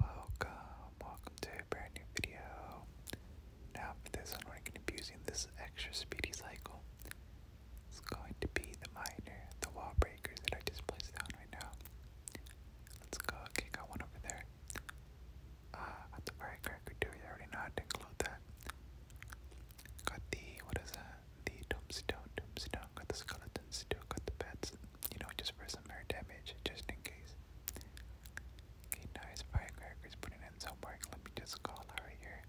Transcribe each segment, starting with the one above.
Welcome, welcome to a brand new video. Now for this one, we're going to be using this extra speedy cycle. It's going to be the miner, the wall breakers that I just placed down right now. Let's go, okay, got one over there. Ah, uh, got the firecracker too, I already know how to include that. Got the, what is that? The tombstone, tombstone, got the skeletons too, got the bats you know, just for some air damage, just in case. Okay, nice firecrackers putting in some work. Let me just call out here.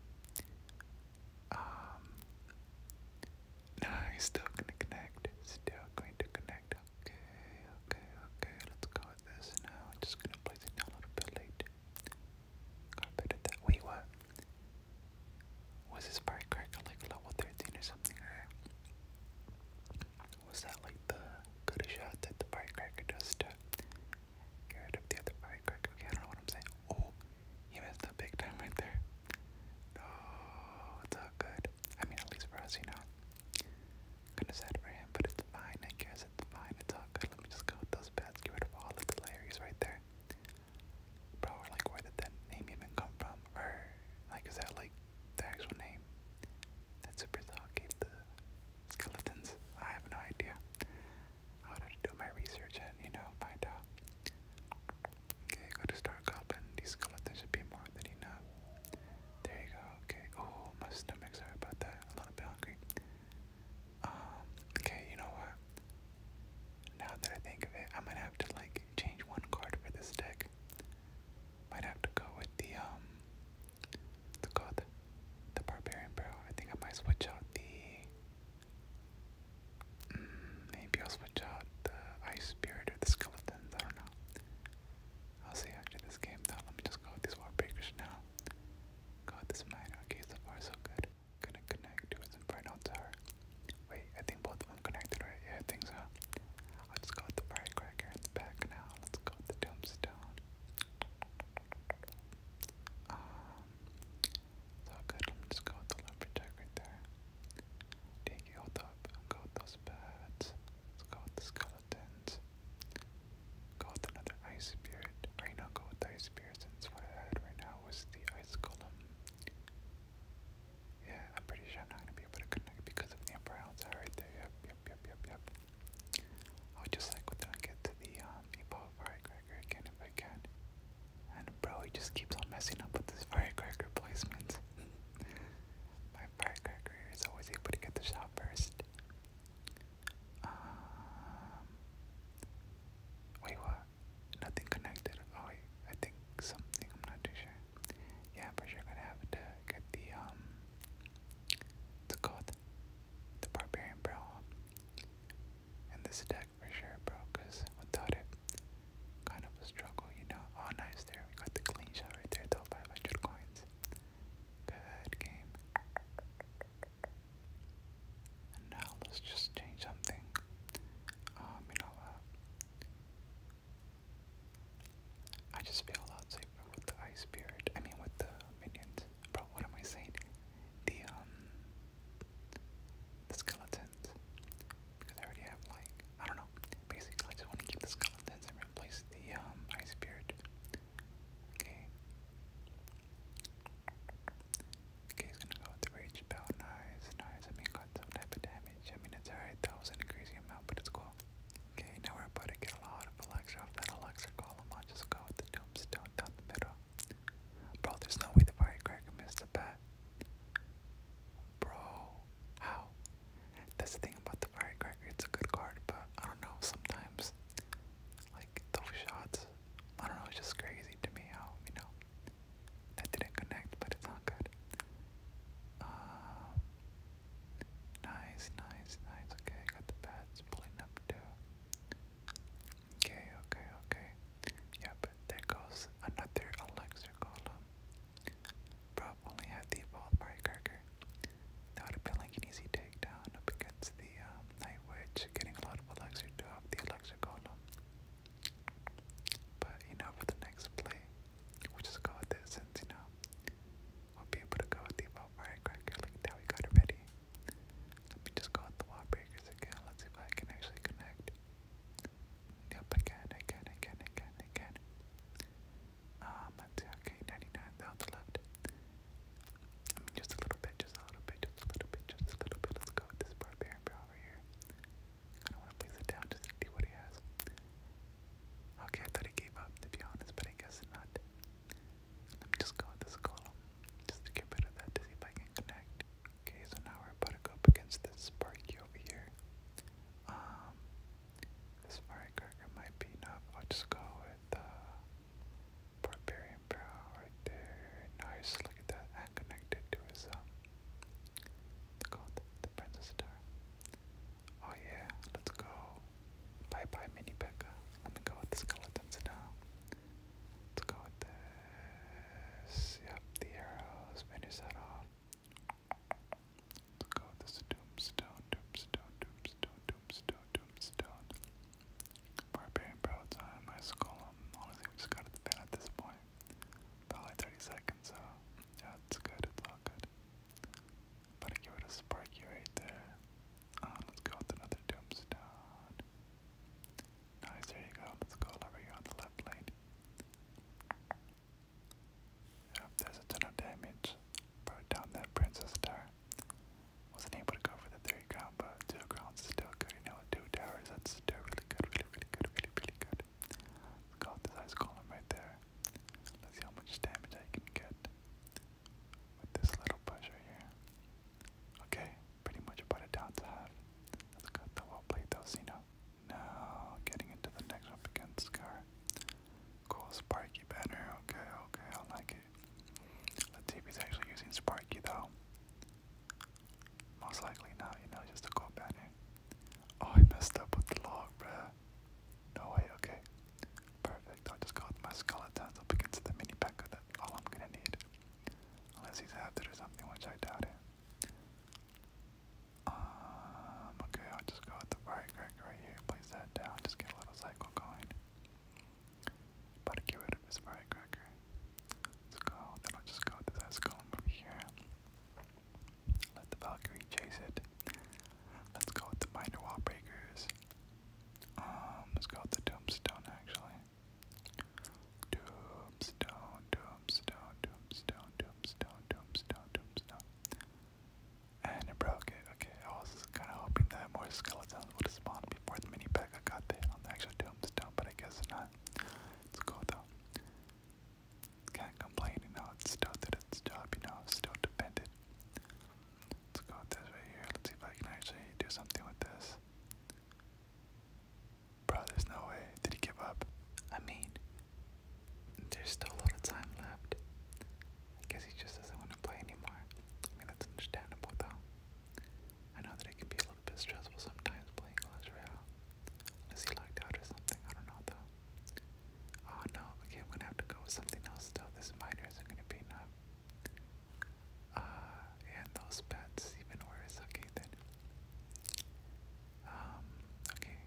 Um, nice, still gonna connect, still going to connect. Okay, okay, okay, let's go with this now. I'm just gonna place it down a little bit late. Got better that. Wait, what? Was this firecracker like level 13 or something? Was that like the good shot that the firecracker does to get rid of the other firecracker? I don't know what I'm saying. Oh, he missed the big time right there. No, oh, it's all good. I mean, at least for us, you know. Kinda sad for him, but it's fine. I guess it's fine. It's all good. Let me just go with those bats. Get rid of all of right there. Bro, like, where did that name even come from? Or, like, is that like the actual name that Supercell gave the skeletons. I have no idea. I would have to do my research and, you know, find out. Okay, go to Star Goblin. These skeletons should be more than enough. There you go. Okay. Oh, my stomach. Sorry about that. A little bit hungry. Um, okay, you know what? Now that I think of it, I'm gonna have to like change one card for this deck. Might have to go with the um the god, the barbarian barrel. I think I might switch out the mm, maybe I'll switch out the ice spirit or the skeletons. I don't know. I'll see after this game. Now let me just go with these wall breakers now. Got this mine. Okay, so far so good. Gonna connect to his tower. Wait, I think both of them connected, right? Yeah, things are. so. I'll just go with the firecracker in the back now. Let's go with the tombstone. Um, it's all good. I'm just go with the lumberjack right there. Take you hold up. I'll go with those bats. Let's go with the skeletons. Go with another ice spirit. Or you know, go with the ice spirit since what I had right now was the ice column. Yeah, I'm pretty sure I'm not gonna be able to connect because of the Emperor outside right there. Yep, yep, yep, yep, yep. I would just like to get to the um, meatball firecracker again if I can. And bro, he just keeps on messing up with his firecracker placements. My firecracker is always able to get the shot first. Um, wait, what? Nothing connected. Oh wait, I think something. I'm not too sure yeah, for sure gonna have to get the, um, what's it The Barbarian Bro. And this deck for sure, bro, because without it, kind of a struggle, you know? All oh, nice there. We got the clean shot right there, though, 500 coins. Good game. now let's just change something. Um, you know, uh, I just feel a lot safer with the ice spirit. I mean, with the minions. Bro, what am I saying? The um, the Because I already have like, I don't know. Basically, I just want to keep the skeletons and replace the um ice spirit. Okay. Okay, he's gonna go with the rage bell. Nice, nice. I mean, got some type of damage. I mean, it's alright, that was an increasing amount, but it's cool. Okay, now we're about to get a lot of Alexa that Alexa column. just go with the tombstone down the middle. Bro, there's no way the firecracker missed the bat. Bro, how? That's the thing about the firecracker, it's a good card, but I don't know, sometimes, like, those shots, I don't know, it's just crazy to me how, you know, that didn't connect, but it's not good. Uh, nice, nice, nice. Okay, got the bats pulling up too. Okay, okay, okay. Yeah, but there goes another Alexa Golem. Bro only had the evolved firecracker. That would have been like an easy takedown up against the um, Night Witch, getting a lot of Alexa to off the Alexa Golem. But you know, for the next play, we'll just go with it since you know we'll be able to go with the about firecracker like that. We got it Let me just go with the wall breakers again. Let's see if I can actually connect. Yep, um, I can, I can, I can, I left. just a little bit, just a little bit, just a little bit, just a little bit. Let's go with this barbarian over here. I don't want to place it down just to see what he has. Okay, I thought he gave up, to be honest, but I guess not. Let me just go with this column, just to get rid of that, to see if I can connect. Okay, so now we're about to go up against this Sparky over here. Um, this firecracker might be not. I'll just go with, uh, Barbarian Brow right there. Nice, look at that, and connected to his, um, it's called The Princess Star. Oh yeah, let's go. Bye bye, Mini Becca. Let me go with the skeletons now. Let's go with this. Yep, the arrows. Finish that off. Let's go with this tombstone, tombstone, tombstone, tombstone, tombstone. Barbarian Bro, time. I skull him. Honestly, we just got to fan at this point. Probably 30 seconds, so. That's good, it's all good. But I give it a sparky right there. Uh, let's go with another tombstone. Nice, there you go. Let's go over here on the left lane. Yep, there's a ton of damage. Brought down that Princess Star. Wasn't able to go for the three ground, but two grounds is still good. You know, two towers, that's still really good, really, really good, really, really good let this ice column right there. Let's see how much damage I can get with this little pressure here. Okay, pretty much about it down to half. Let's cut the well plate though, Cena. Now, getting into the next up against Scar. Cool Sparky banner. Okay, okay, I like it. The us see actually using Sparky though. Most likely not, you know, just a cool here. Oh, I messed up with the log, bruh. No way, okay. Perfect, I'll just go with my skeletons up against the mini pack of All I'm gonna need. Unless he's after or something, which I doubt it. Um, okay, I'll just go with the firecracker right here, place that down, just get a little cycle going. About to get rid of his firecracker. Let's go, then I'll just go to that skull over here. Let the Valkyrie chase it. Let's go with the minor wall breakers. Um, let's go with the tombstone actually. Tombstone, tombstone, tombstone, tombstone, tombstone, tombstone. And it broke it. Okay, I was kind of hoping that more skeletons would spawn before the mini pack I got the hit on the tombstone, but I guess not. Let's go though. Can't complain, enough. it's still did its job, you know, still dependent. Let's go with this right here. Let's see if I can actually do something with this. Bro, there's no way. Did he give up? I mean, there's still a lot of time left. I guess he just doesn't want to play anymore. I mean, that's understandable, though. I know that it can be a little little bit will sometimes playing Clash Royale. Unless he locked out or something, I don't know though. Oh no, okay, i have to go with something else though. This miner isn't gonna be enough. Uh, and those pets even worse. Okay then. Um, okay.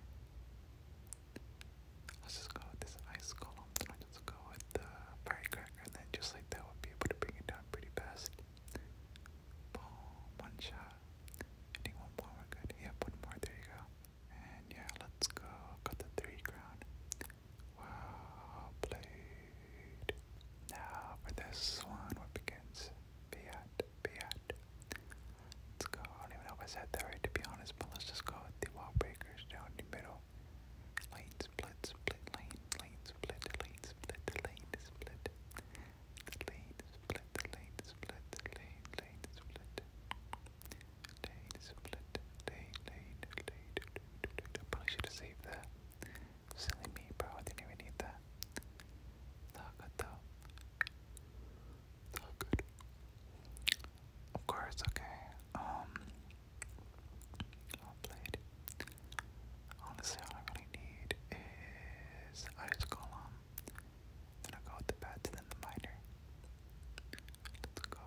Let's just go with this ice column. I'll go with the firecracker, and then just like that, we'll be able to bring it down pretty fast. Boom, one shot. Ending one more, we're good. Yep, one more, there you go. And yeah, let's go. Got the three crown. Wow, played. Now for this one, what begins? Fiat, Fiat. Let's go. I don't even know if I said that right to be honest, but let's just go with the wall breakers down the middle. Lane split, split, lane, lane split, lane split, lane split lane split, lane split, lane, lane split, lane split, lane, lane, lane. I probably should have saved that. Silly me, bro. didn't even need that. Not good though. Not good. Of course, okay. Um, I'll Honestly, all I really need is ice column. Then I'll go with the bats then the minor. Let's go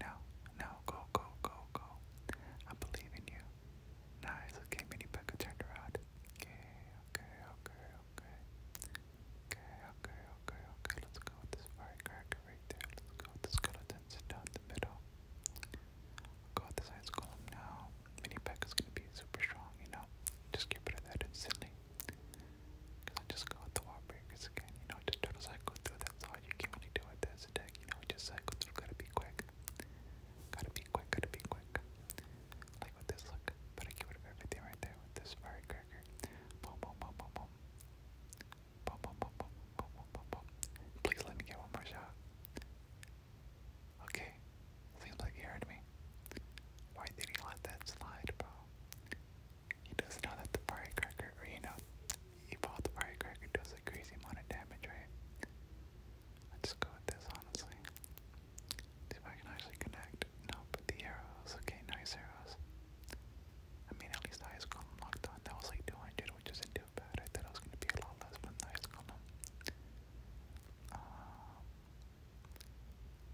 now. Now go go go go. I believe in you. Nice. Okay, mini Becca turned around. Okay, okay, okay, okay. Okay, okay, okay, Let's go with this firecracker right there. Let's go with the skeletons down the middle. go with this ice golem now mini pack is gonna be super strong, you know. Just keep it at that instantly. Cause I just go the wall breakers again, you know, just try cycle through that's all you can really do with this deck, you know, just cycle through, gotta be quick. Gotta be quick, gotta be quick. Like with this look, but I get rid everything right there with this firecracker. boom boom boom boom. Boom boom boom boom boom boom boom boom. Please let me get one more shot. Okay, seems like he heard me. Why did he let that slide, bro? He does know that the firecracker, you know, he bought the firecracker, does a crazy amount of damage, right? Let's just go with this, honestly. See if I can actually connect. No, but the arrows. Okay, nice arrows. I mean, at least the ice column locked on. That was like 200, which isn't too bad. I thought it was going to be a lot less, but the ice column. Uh,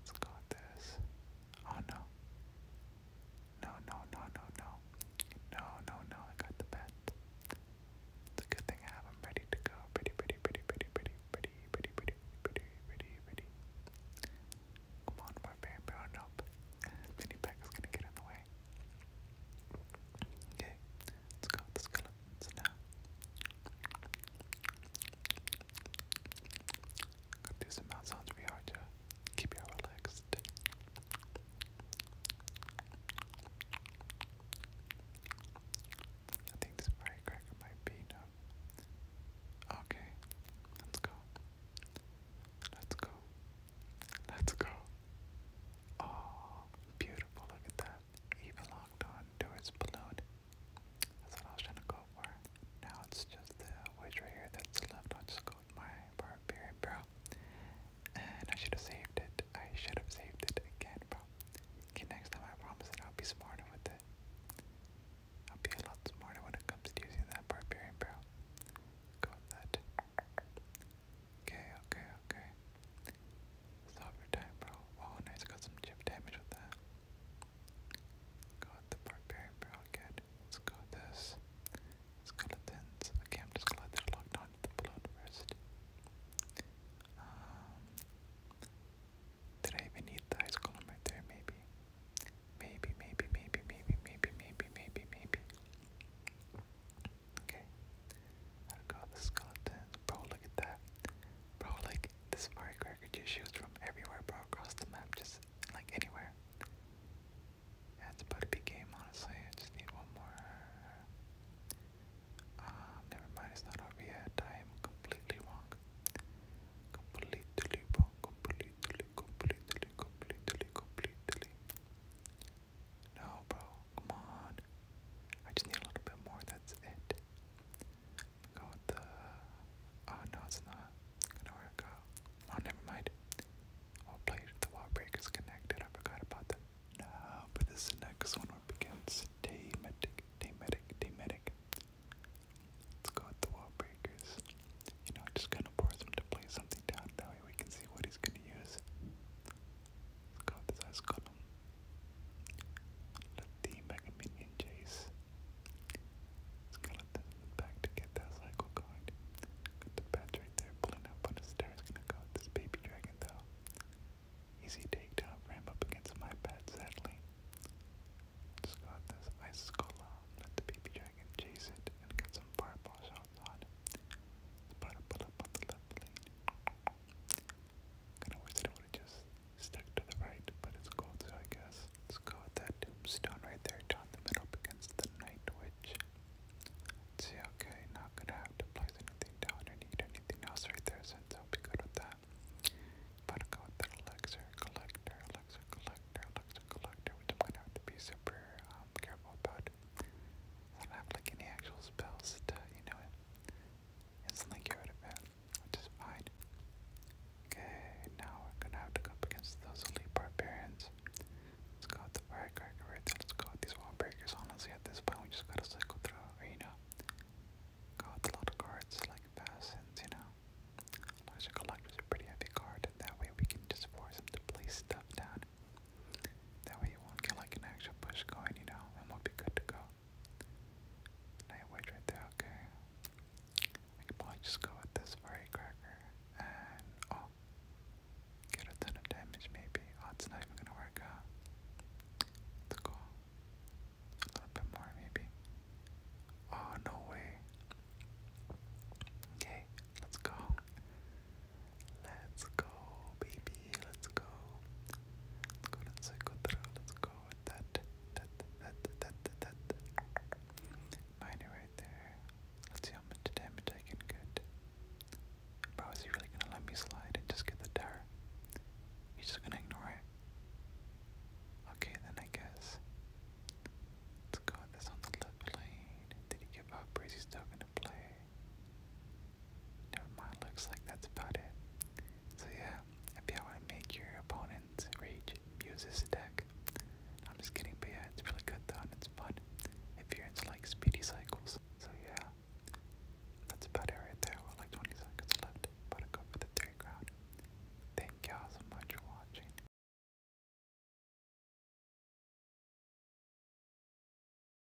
let's go with this. Oh no. No, no, no, no, no. No, no, no, I got the bet. It's a good thing I have them ready to go. Pretty, pretty, pretty, pretty, pretty, pretty, pretty, pretty, pretty, pretty, Come on, barbarian, brown up. Oh, Mini pack is gonna get in the way. Okay, let's go, let's go, silence now. Got these mouth sounds really hard to keep you relaxed. I think this firecracker might be no. Okay, let's go. Let's go. Let's go. Oh, beautiful! Look at that he belonged on to balloon. That's what I was trying to go for. Now it's just the wedge right here that's left. i just go my barbarian bro. And I should have saved it. I should have saved it again, bro. Okay, next time I promise I'll be smarter with it. I'll be a lot smarter when it comes to using that barbarian barrel. Go with that. Okay, okay, okay. Sovereign time, bro. Oh, nice. Got some chip damage with that. Got the barbarian barrel good. let this. Skeletons. Okay, I'm just glad they're locked on the blood rest. Um, did I even need the ice column right there? maybe, maybe, maybe, maybe, maybe, maybe, maybe, maybe. Okay. I'll go with Bro, look at that. Bro, like, this Mario just shoots from everywhere, bro, across the map, just, like, anywhere. Yeah, about to be game, honestly. I just need one more. Um, never mind, it's not over yet. I am completely wrong. Completely wrong. completely, completely, completely, completely. No, bro. Come on. I just need a little bit more. That's it. Go the. Uh, oh, no, it's not gonna work out. Oh, never mind. i play the wall breakers connected. I forgot about that. Now, for this next one, we're against Daymatic. Daymatic. Daymatic. Let's go with the wall breakers. You know, i just gonna force him to play something down. That way we can see what he's gonna use. Got this ice column. Let the Mega Minion chase. Skeleton in the back to get that cycle card. Got the bat there pulling up on the stairs. Gonna go this baby dragon though. Easy takedown for up against my bat, sadly. Just got this ice column. Let the baby dragon chase it and get some fireball shots on. It's pull up on the left Kinda wish that would've just stuck to the right, but it's gold, so I guess. Let's go with that tombstone right there, down the middle against the night witch. see, okay, not gonna have to place anything down or anything else right there since be good with that. But I'll collector, collector, collector, which i gonna have to be super um, careful about. I don't have like any actual spells to, you know, it's get rid of it, which is fine. Okay, now we're gonna have to go up against those elite barbarians. Let's go with the right there. Let's go with these wall breakers. Honestly, at this point, we just gotta cycle through arena. Go with a lot of cards like assassins, you know. Laser Collector's a pretty heavy card, that way we can just force them to place stuff down. That way you won't get like an actual push going, you know, and we'll be good to go. Nightwitch right there, okay. I just go with this furry cracker and oh get a ton of damage maybe. Oh it's not even gonna work out. Let's go. Oh, a little bit more maybe. Oh no way. Okay, let's go. Let's go, baby. Let's go. Let's go. Let's go through. Let's go with that. That. That. That. That. that. Miner right there. Let's see how much damage I can get. Bro, is he really gonna let me slide and just get the tower? He's just gonna ignore it. Okay, then I guess. Let's go with this on the left lane. Did he give up? Or is he still gonna play? Never looks like that's about it. So yeah, if you want to make your opponents rage, use this deck. I'm just kidding, but yeah, it's really good though and it's fun if you're into like speedy cycles. So yeah, that's about it there. We're like 20 seconds left, but I go for the third Thank y'all so much for watching.